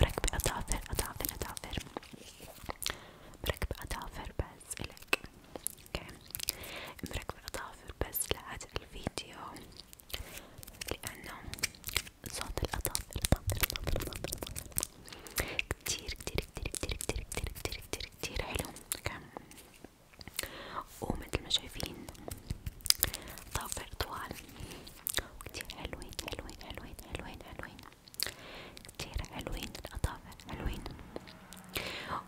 مركبة أظافر أظافر أظافر مركبة أظافر بس إلك اوكي مركبة أظافر بس لهذا الفيديو لأنه صوت الأظافر أظافر أظافر أظافر كتير كتير كتير كتير كتير كتير كتير كتير كتير حلو اوكي ومثل ما شايفين ضوافر طوال وكتير حلوين حلوين حلوين حلوين حلوين كتير حلوين الأطافر حلوين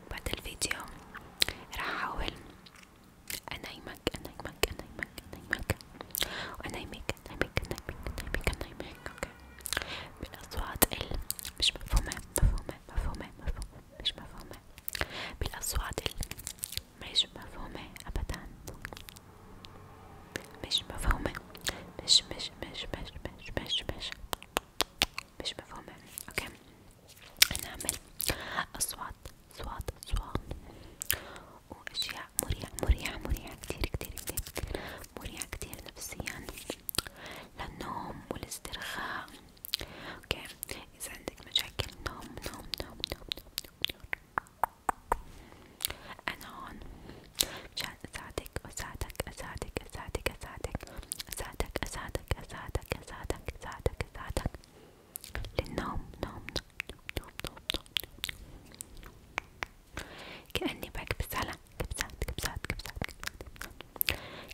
وبعد الفيديو راح أحاول أنايمك أنايمك أنايمك أنايمك وأنايمك أنايمك أنايمك أنايمك أنايمك أوكي بالأصوات ال مش مفهومة مفهومة مفهومة مفهومة مش مفهومة بالأصوات ال مش مفهومة أبدا مش مفهومة مش مش مش مش مش مش مش مش مفهومة اوكي نعمل اصوات اصوات اصوات واشياء مريحة مريحة مريحة كتير كتير كتير كتير مريحة كتير نفسيا للنوم والاسترخاء اوكي اذا عندك مشاكل نوم نوم نوم نوم نوم نوم, نوم. أنا هون مشان أساعدك أساعدك أساعدك أساعدك أساعدك أساعدك أساعدك أساعدك أساعدك أساعدك أساعدك للنوم نوم نوم نوم نوم كأني بكبس على كبسات كبسات كبسات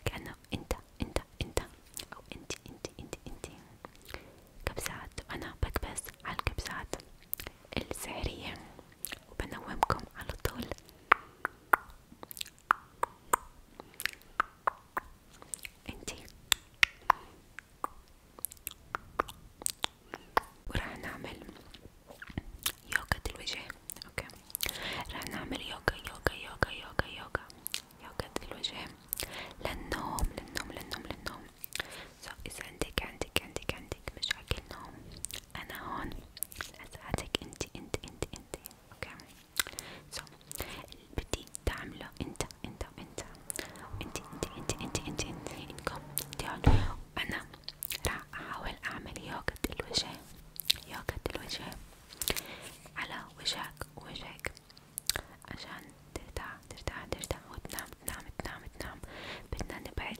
كأنه أنت أنت أنت أو أنت أنت أنت أنت كبسات وأنا بكبس على الكبسات السحرية وبنومكم على طول انتي وراح نعمل يوغا الوجه اوكي راح نعمل يوغا يوغا يوغا يوغا يوغا يوغا الوجه للنوم للنوم للنوم للنوم سو إذا عندك عندك عندك مشاكل نوم أنا هون لأساعدك أنت أنت أنت أنت أوكي اللي بدي تعمله أنت أنت أنت أنت أنت أنت أنت أنت إنكم تعالوا أنا راح أحاول أعمل يوغة الوجه يوغة الوجه على وجهك ووجهك عشان ترتاح ترتاح ترتاح وتنام تنام تنام تنام بدنا نبعد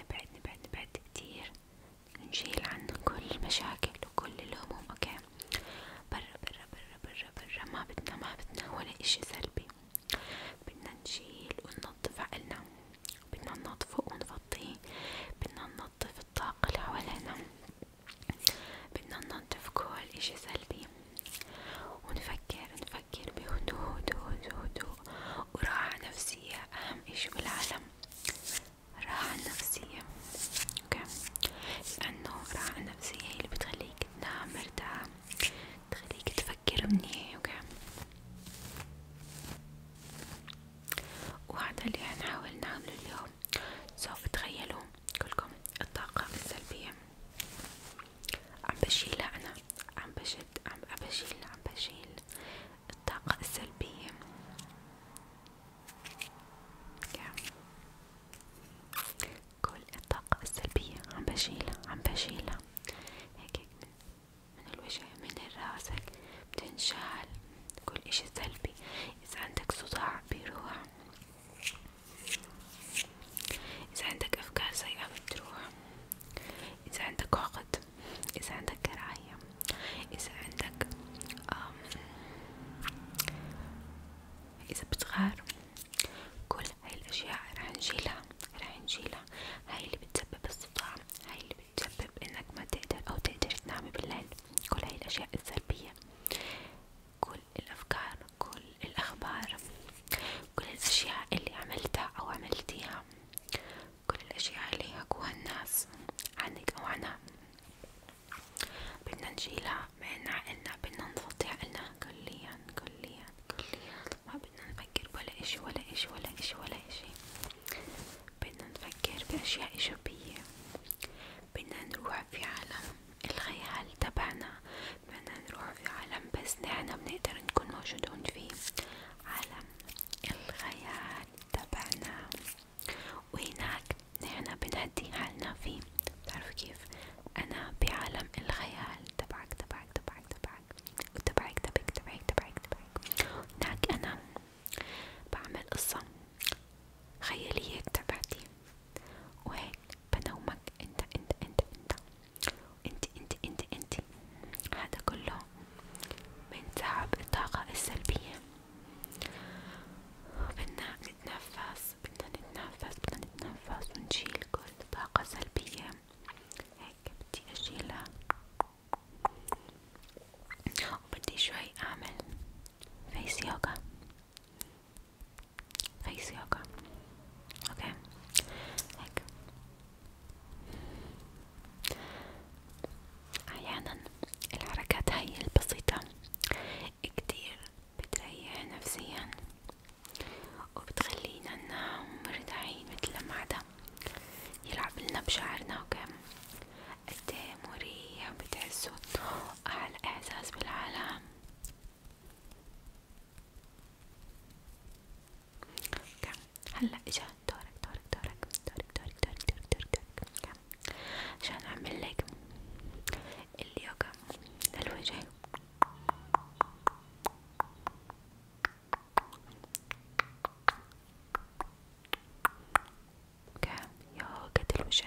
نبعد نبعد نبعد كتير نشيل عنه كل المشاكل وكل الهموم اوكي برا برا برا برا برا ما بدنا ما بدنا ولا اشي سلبي بدنا نشيل وننظف عقلنا بدنا ننظفه ونفضيه بدنا ننظف الطاقة اللي حوالينا بدنا ننظف كل اشي سلبي ونفكر تفكر بهدوء هدوء هدوء وراحة نفسية أهم إشي بالعالم راحة نفسية أوكي لأنه راحة نفسية هي اللي بتخليك تنام مرتاح تخليك تفكر منيح أوكي وهذا اللي حنحاول نعمله اليوم سوف تخيلوا كلكم الطاقة السلبية عم بشيلها أنا عم بشد عم بشيل عم بشيل الطاقة السلبية كل الطاقة السلبية عم بشيلها عم بشيلها هيك من, من الوجه من راسك بتنشال كل اشي سلبي إذا عندك صداع بيروح إذا عندك أفكار سيئة بتروح إذا عندك عقد إذا عندك كراهية إذا عندك إذا بتغار كل هاي الأشياء رح نشيلها رح نشيلها هاي اللي بتسبب الصداع هاي اللي بتسبب إنك ما تقدر أو تقدر تنامي بالليل كل هاي الأشياء السلبية كل الأفكار كل الأخبار كل الأشياء اللي عملتها أو عملتيها كل الأشياء اللي يحكوها الناس عنك أو عنها بدنا نشيلها من عقلنا بدنا نفضي عقلنا كليا كليا كليا ما بدنا نفكر ولا إشي ولا إشي ولا إشي ولا إشي بدنا نفكر بأشياء إيجابية بدنا نروح في عالم الخيال تبعنا بدنا نروح في عالم بس نحنا بنقدر نكون موجودون فيه عالم الخيال تبعنا وهناك نحنا بنهدي حالنا فيه بتعرفوا كيف أنا بعالم الخيال تبعك تبعك تبعك تبعك وتبعك تبعك تبعك تبعك تبعك هناك أنا بعمل قصة خيالية تبعتي وهيك بنومك انت انت انت انت انت انت انت انت هذا كله من تعب الطاقة السلبية بدنا نتنفس بدنا نتنفس بدنا نتنفس ونشيل كل طاقة سلبية هيك بدي اشيلها وبدي شوي اعمل فيس يوغا في سياقة اوكي هيك احيانا الحركات هاي البسيطة كتير بتريح نفسيا وبتخلينا مرتاحين متل لما حدا يلعب لنا بشعرنا اوكي قد إيه مريح بتحسوا أحلى احساس بالعالم كم هلا اجا دورك دورك دورك دورك دورك دورك دورك دورك دورك كم عشان اعمل لك اليوغا للوجه كم يوغا الوجه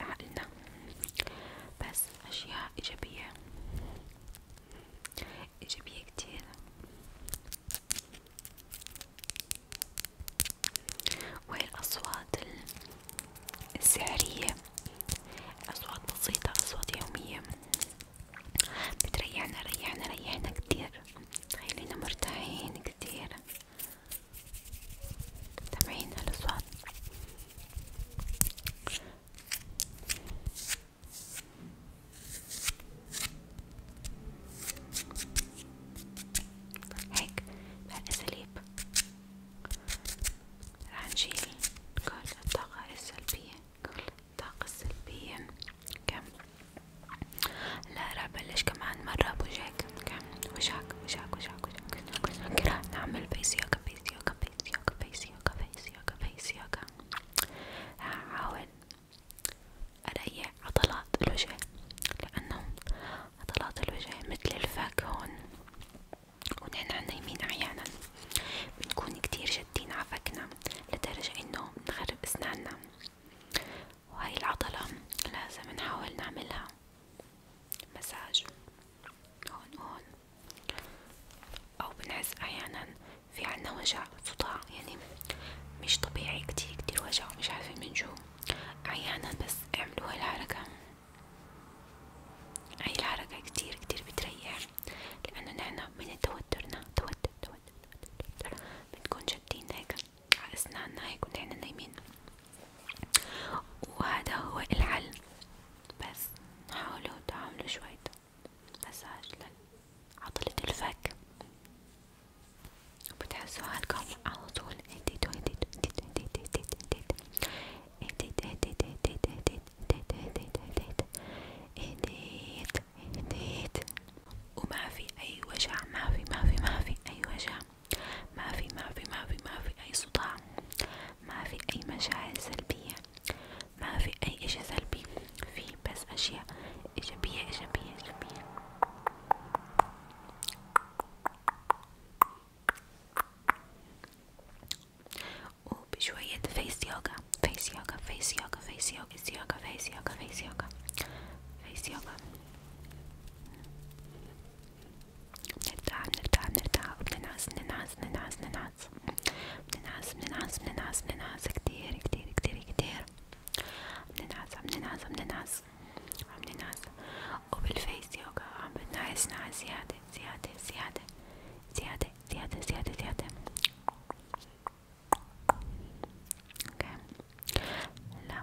عقلنا بس أشياء إيجابية إيجابية كتير وهي الأصوات السحرية أصوات بسيطة أصوات يومية بتريحنا ريحنا ريحنا كتير خلينا مرتاحين كتير تمرين الأسود هيك بهالأساليب راح نشيل كل الطاقة السلبية كل الطاقة السلبية كم لا رح بلش كمان مرة بوجهك اوكي وشك وشك وشك وشك راح نعمل فيس يوغا فيس يوغا فيس يوغا فيس يوغا فيس يوغا فيس يوغا هحاول اريح عضلات الوجه لانه عضلات الوجه مثل الفك هون ونحن نايمين احيانا بنكون كتير شادين على فكنا لدرجة انه بنخرب اسناننا وهاي العضلة لازم نحاول نعملها مساج هون هون أو بنحس أحيانا في عنا وجع صداع يعني مش طبيعي كتير كتير وجع ومش عارفين من شو أحيانا بس اعملوا هاي الحركة هاي الحركة كتير كتير بتريح لأنه نحنا من توترنا توتر توتر توتر بنكون شادين هيك على أسناننا هيك ونحنا نايمين وهذا هو الحل بس حاولوا تعملوا شوية مساج لعضلة الفك بتحسوا حالكم على طول اهديت اهديت اهديت اهديت اهديت اهديت اهديت اهديت اهديت اهديت أي وجع ما في ما أي وجع ما في ما في ما في ما في أي صداع ما في أي مشاعر سلبية ما في أي إشي سلبي في بس أشياء إيجابية إيجابية إيجابية وبشوية فيس يوغا فيس يوغا فيس يوغا فيس يوغا فيس يوغا فيس يوغا فيس يوغا فيس يوغا بنرتاح بنرتاح بنرتاح وبننعس بننعس بننعس بننعس بننعس بننعس بننعس بننعس كتير كتير كتير كتير بننعس بننعس بننعس بننعس وبالفيس يوغا عم بنعس نعس زيادة زيادة زيادة زيادة زيادة زيادة زيادة اوكي هلا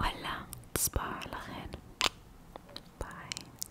ولا تصبحوا على خير باي